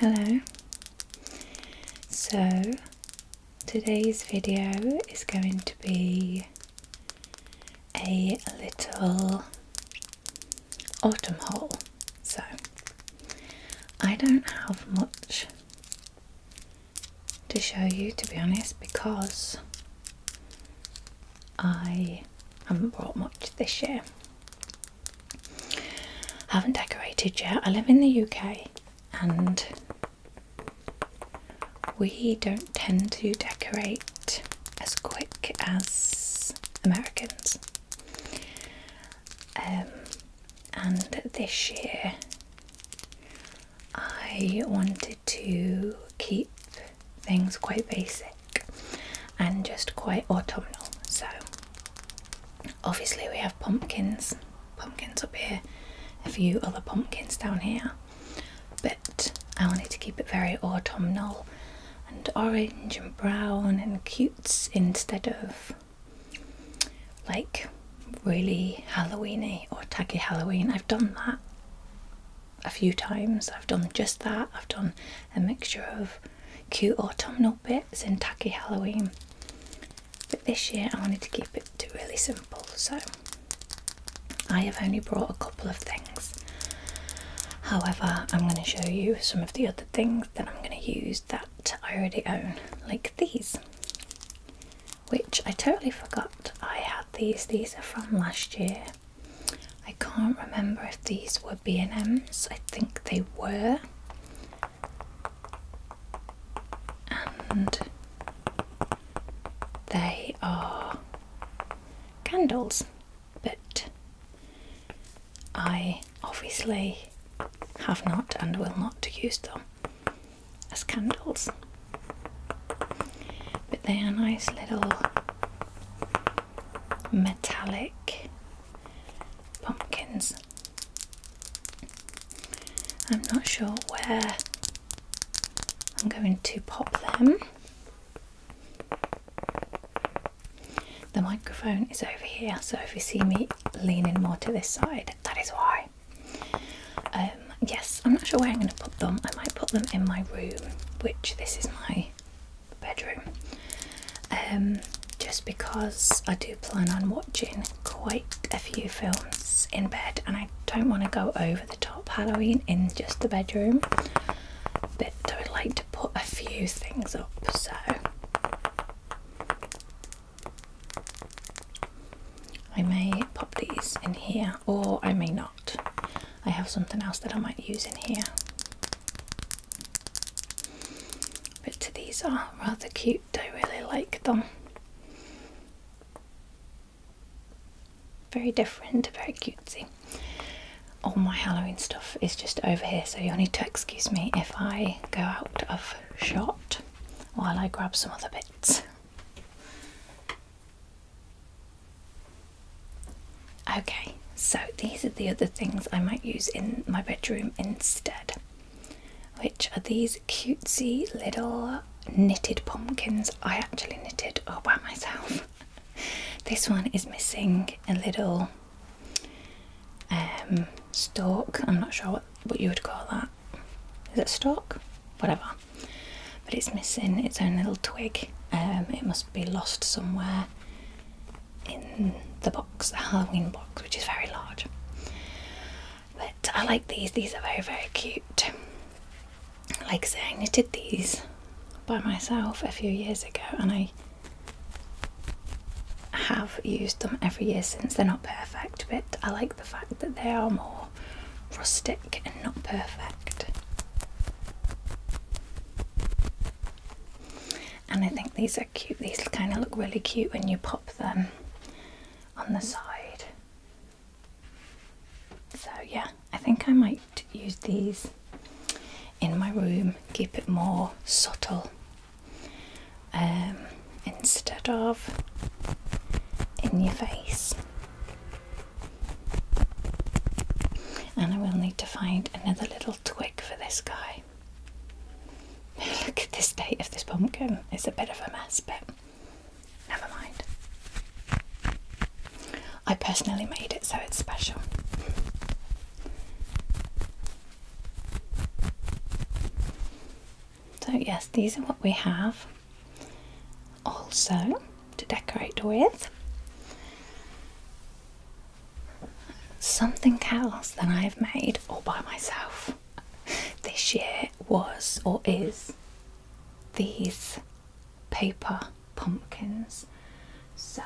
Hello. So, today's video is going to be a little autumn haul. So, I don't have much to show you to be honest because I haven't bought much this year. I haven't decorated yet. I live in the UK and we don't tend to decorate as quick as Americans. Um, and this year I wanted to keep things quite basic and just quite autumnal. So, obviously, we have pumpkins, pumpkins up here, a few other pumpkins down here, but I wanted to keep it very autumnal and orange and brown and cutes instead of like really Halloweeny or tacky Halloween. I've done that a few times. I've done just that. I've done a mixture of cute autumnal bits and tacky Halloween. But this year I wanted to keep it really simple, so I have only brought a couple of things. However, I'm going to show you some of the other things that I'm going to use that I already own, like these, which I totally forgot I had these. These are from last year I can't remember if these were B&M's. I think they were. And they are candles, but I obviously have not and will not use them as candles. But they are nice little metallic pumpkins. I'm not sure where I'm going to pop them. The microphone is over here, so if you see me leaning more to this side, that is why. Um, yes, I'm not sure where I'm going to put them. I might put them in my room, which this is my bedroom um, just because I do plan on watching quite a few films in bed and I don't want to go over the top Halloween in just the bedroom but I would like to put a few things up so I may pop these in here or I may not I have something else that I might use in here. But these are rather cute, I really like them. Very different, very cutesy. All my Halloween stuff is just over here, so you'll need to excuse me if I go out of shot while I grab some other bits. Okay, so these are the other things I might use in my bedroom instead, which are these cutesy little knitted pumpkins. I actually knitted all by myself. this one is missing a little um, stalk. I'm not sure what, you would call that. Is it stalk? Whatever. But it's missing its own little twig. Um, it must be lost somewhere in the box, the Halloween box, which is very large. But I like these, these are very, very cute. Like I say, I knitted these by myself a few years ago and I have used them every year since. They're not perfect, but I like the fact that they are more rustic and not perfect. And I think these are cute, these kind of look really cute when you pop them on the side. So, yeah, I think I might use these in my room, keep it more subtle um, instead of in your face. And I will need to find another little twig for this guy. Look at the state of this pumpkin. It's a bit of a mess, but never mind. I personally made it so it's special. So, yes, these are what we have. Also, to decorate with. Something else that I have made all by myself this year was or is these paper pumpkins. So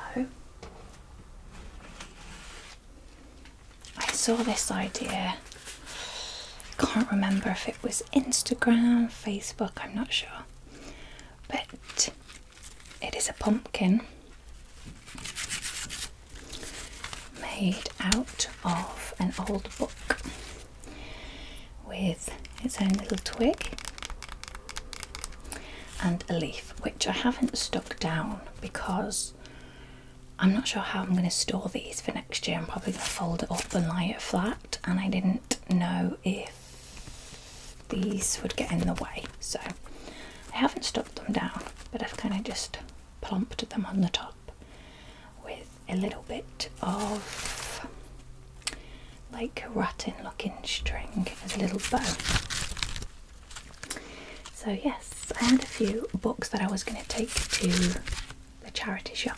I saw this idea. Can't remember if it was Instagram, Facebook, I'm not sure but it is a pumpkin made out of an old book with its own little twig and a leaf, which I haven't stuck down because I'm not sure how I'm going to store these for next year. I'm probably going to fold it up and lay it flat, and I didn't know if these would get in the way. So I haven't stuck them down, but I've kind of just plumped them on the top with a little bit of like rotten looking string as a little bow. So yes, I had a few books that I was going to take to the charity shop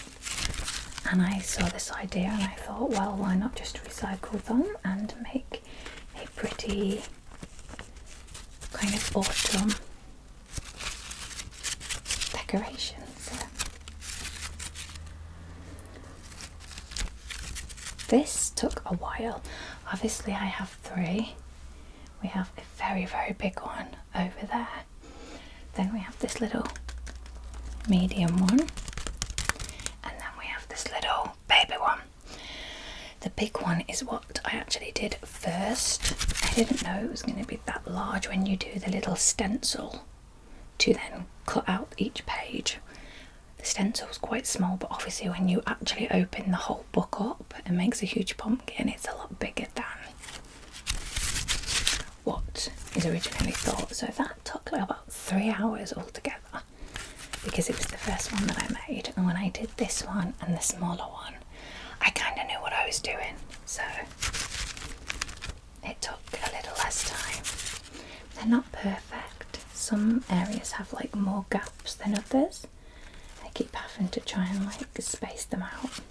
and I saw this idea and I thought, well, why not just recycle them and make a pretty kind of autumn decoration. this took a while. Obviously, I have three. We have a very, very big one over there, then we have this little medium one, and then we have this little baby one. The big one is what I actually did first. I didn't know it was going to be that large when you do the little stencil to then cut out each page. The stencil stencil's quite small, but obviously, when you actually open the whole book up, it makes a huge pumpkin. It's a lot bigger than what is originally thought. So that took about three hours altogether because it was the first one that I made. And when I did this one and the smaller one, I kind of knew what I was doing. So it took a little less time. They're not perfect. Some areas have like more gaps than others. I keep having to try and like space them out.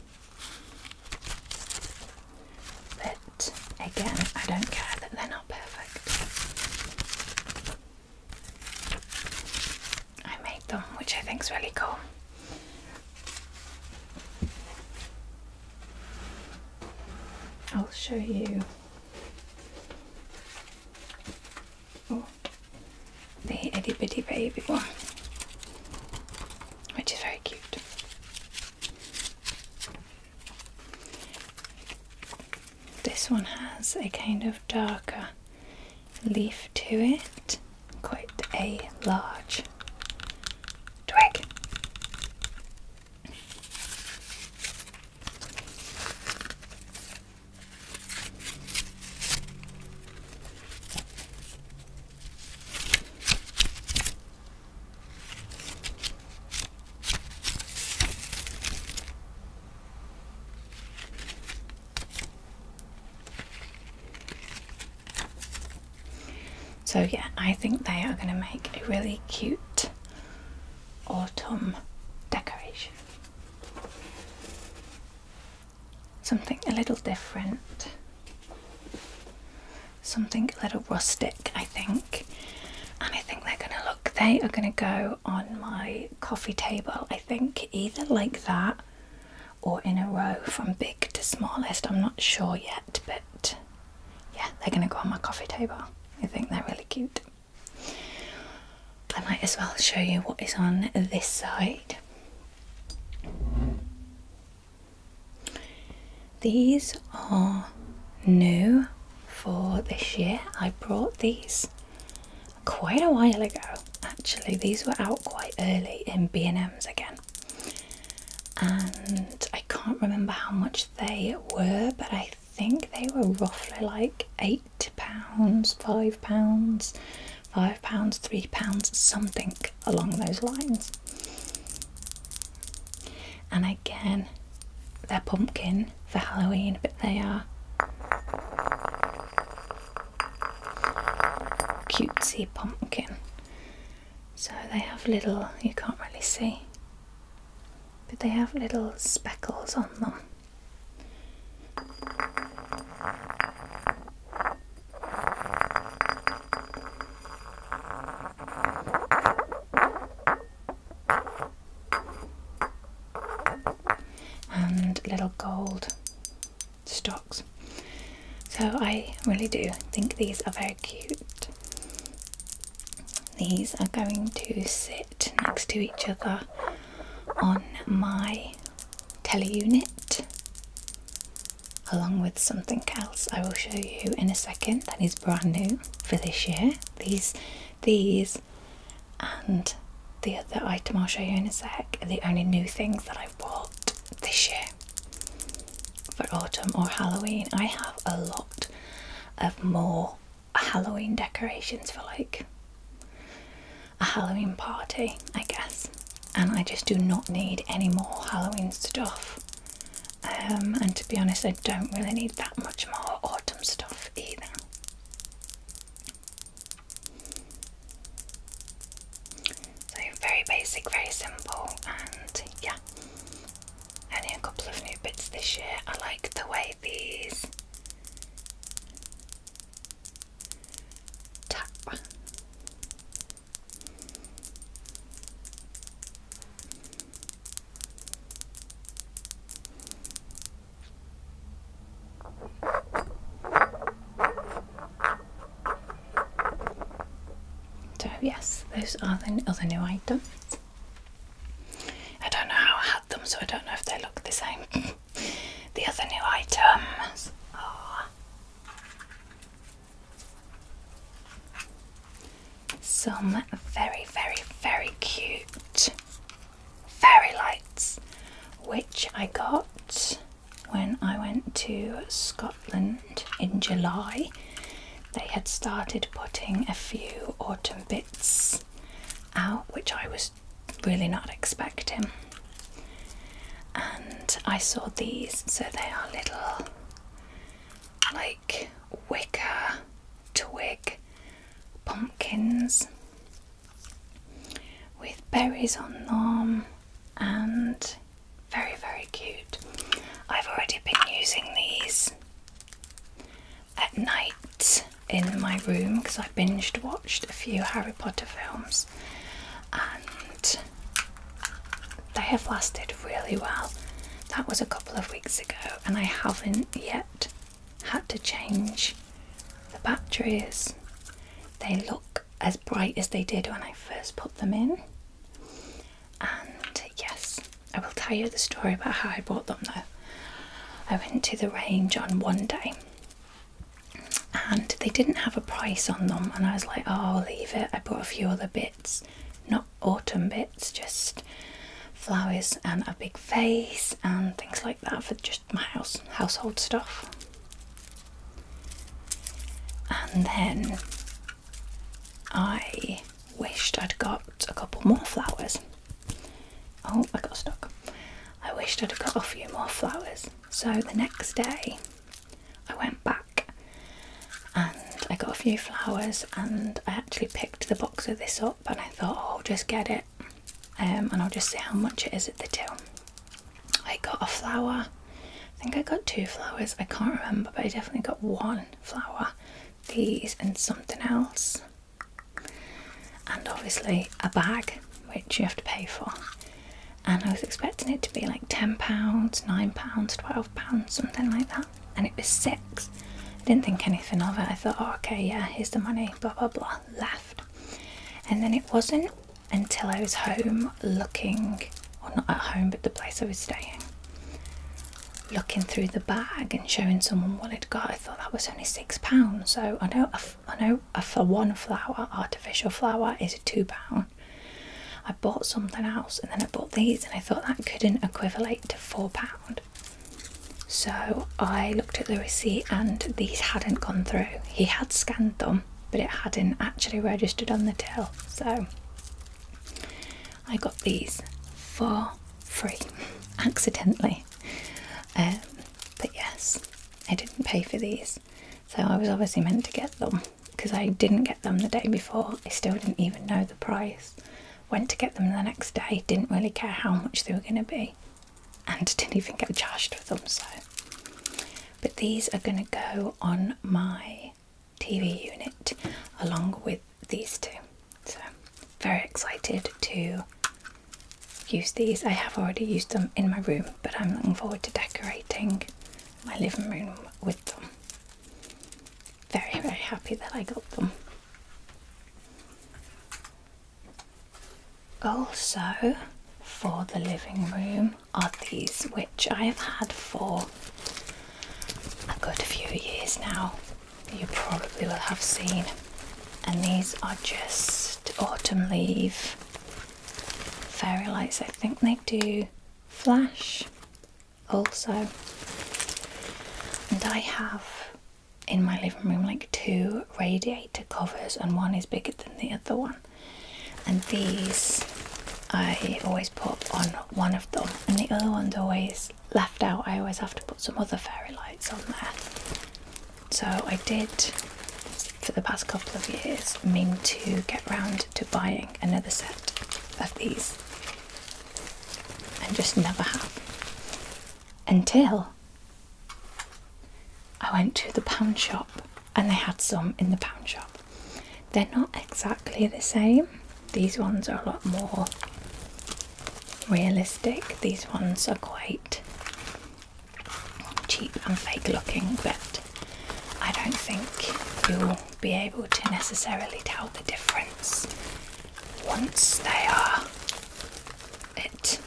But again, I don't care that they're not perfect. I made them, which I think is really cool. I'll show you oh, the itty bitty baby one, which is very cute. This one has a kind of darker leaf to it, quite a large twig. So, yeah, I think they are going to make a really cute autumn decoration. Something a little different something a little rustic, I think. And I think they're gonna look, they are gonna go on my coffee table, I think, either like that or in a row from big to smallest. I'm not sure yet, but yeah, they're gonna go on my coffee table. I think they're really cute. I might as well show you what is on this side. These are new for this year. I brought these quite a while ago. Actually, these were out quite early in B&M's again. And I can't remember how much they were, but I think they were roughly like 8 pounds, 5 pounds five pounds, three pounds, something along those lines. And again, they're pumpkin for Halloween, but they are cutesy pumpkin. So they have little, you can't really see, but they have little speckles on them and little gold stocks. So I really do think these are very cute. These are going to sit next to each other on my tele unit along with something else I will show you in a second that is brand new for this year. These, these, and the other item I'll show you in a sec are the only new things that I've bought this year for autumn or Halloween. I have a lot of more Halloween decorations for like a Halloween party, I guess and I just do not need any more Halloween stuff. Um, and to be honest, I don't really need that much more autumn stuff either. So, very basic, very simple, and yeah, only a couple of new bits this year. I like the way these tap so, yes, those are the other new items. I don't know how I had them, so I don't know if they look the same. the other new items some very, very, very cute fairy lights, which I got when I went to Scotland in July. They had started putting a few autumn bits out, which I was really not expecting. And I saw these, so they are little like wicker twig pumpkins with berries on them and very, very cute. I've already been using these at night in my room because I have binged watched a few Harry Potter films and they have lasted really well. That was a couple of weeks ago, and I haven't yet had to change the batteries. They look as bright as they did when I first put them in. And yes, I will tell you the story about how I bought them though. I went to the range on one day and they didn't have a price on them and I was like oh I'll leave it I bought a few other bits not autumn bits just flowers and a big vase and things like that for just my house household stuff and then I wished I'd got a couple more flowers oh I got stuck I wished I'd got a few more flowers so the next day I went back and I got a few flowers and I actually picked the box of this up and I thought oh, I'll just get it um, and I'll just see how much it is at the till. I got a flower, I think I got two flowers, I can't remember but I definitely got one flower, these and something else and obviously a bag which you have to pay for. And I was expecting it to be like £10, £9, £12, something like that. And it was six. I didn't think anything of it. I thought, oh, okay, yeah, here's the money, blah, blah, blah, left. And then it wasn't until I was home looking, or not at home, but the place I was staying, looking through the bag and showing someone what I'd got. I thought that was only £6. So I know, I know for one flower, artificial flower is £2. I bought something else and then I bought these and I thought that couldn't equate to £4. So I looked at the receipt and these hadn't gone through. He had scanned them, but it hadn't actually registered on the till. So I got these for free accidentally. Um, but yes, I didn't pay for these, so I was obviously meant to get them because I didn't get them the day before. I still didn't even know the price. Went to get them the next day, didn't really care how much they were going to be, and didn't even get charged for them. So, but these are going to go on my TV unit along with these two. So, very excited to use these. I have already used them in my room, but I'm looking forward to decorating my living room with them. Very, very happy that I got them. Also, for the living room are these, which I have had for a good few years now. You probably will have seen, and these are just last autumn leaf. Fairy lights, I think they do flash also. And I have in my living room like two radiator covers, and one is bigger than the other one. And these I always put on one of them, and the other one's always left out. I always have to put some other fairy lights on there. So I did for the past couple of years mean to get round to buying another set of these and just never have until I went to the pound shop and they had some in the pound shop. They're not exactly the same. These ones are a lot more realistic. These ones are quite cheap and fake looking, but I don't think you'll be able to necessarily tell the difference once they are at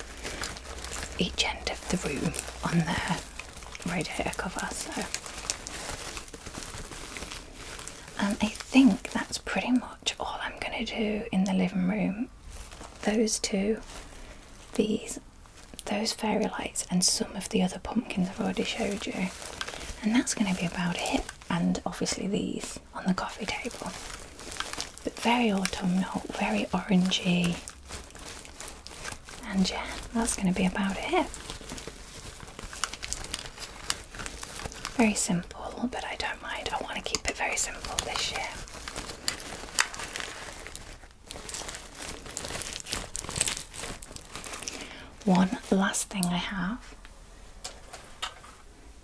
each end of the room on their radiator cover. So. And um, I think that's pretty much all I'm going to do in the living room those two, these, those fairy lights, and some of the other pumpkins I've already showed you. And that's going to be about it. And obviously these on the coffee table. But very autumnal, very orangey. And yeah, that's going to be about it. Very simple, but I don't mind. I want to keep it very simple this year. One last thing I have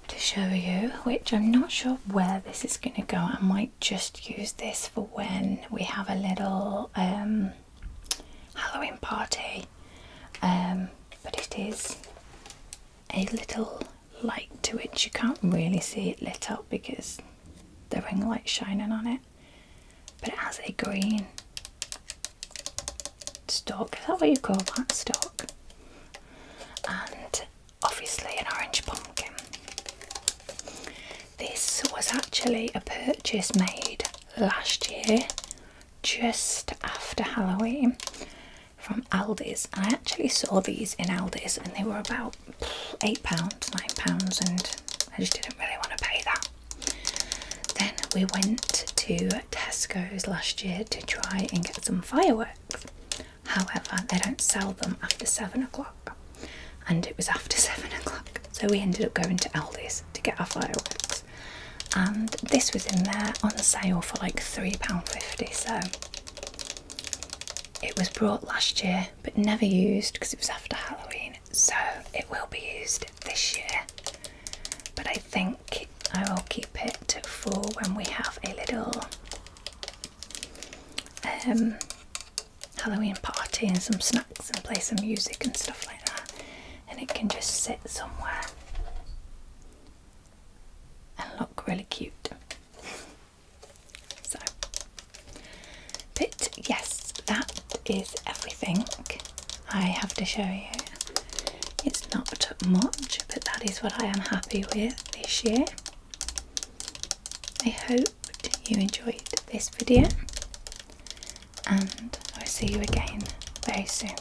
to show you, which I'm not sure where this is going to go. I might just use this for when we have a little um, Halloween party, um, but it is a little light to it. You can't really see it lit up because the ring light's shining on it, but it has a green stalk. Is that what you call that stalk? And obviously an orange pumpkin. This was actually a purchase made last year just after Halloween from Aldi's. I actually saw these in Aldi's and they were about £8, £9 and I just didn't really want to pay that. Then we went to Tesco's last year to try and get some fireworks. However, they don't sell them after 7 o'clock and it was after 7 o'clock. So we ended up going to Aldi's to get our fireworks and this was in there on sale for like £3.50 so it was brought last year but never used because it was after Halloween, so it will be used this year. But I think I will keep it for when we have a little um, Halloween party and some snacks and play some music and stuff like that, and it can just sit somewhere and look really cute. so, but yes, that is everything I have to show you. It's not much, but that is what I am happy with this year. I hope you enjoyed this video and I'll see you again very soon.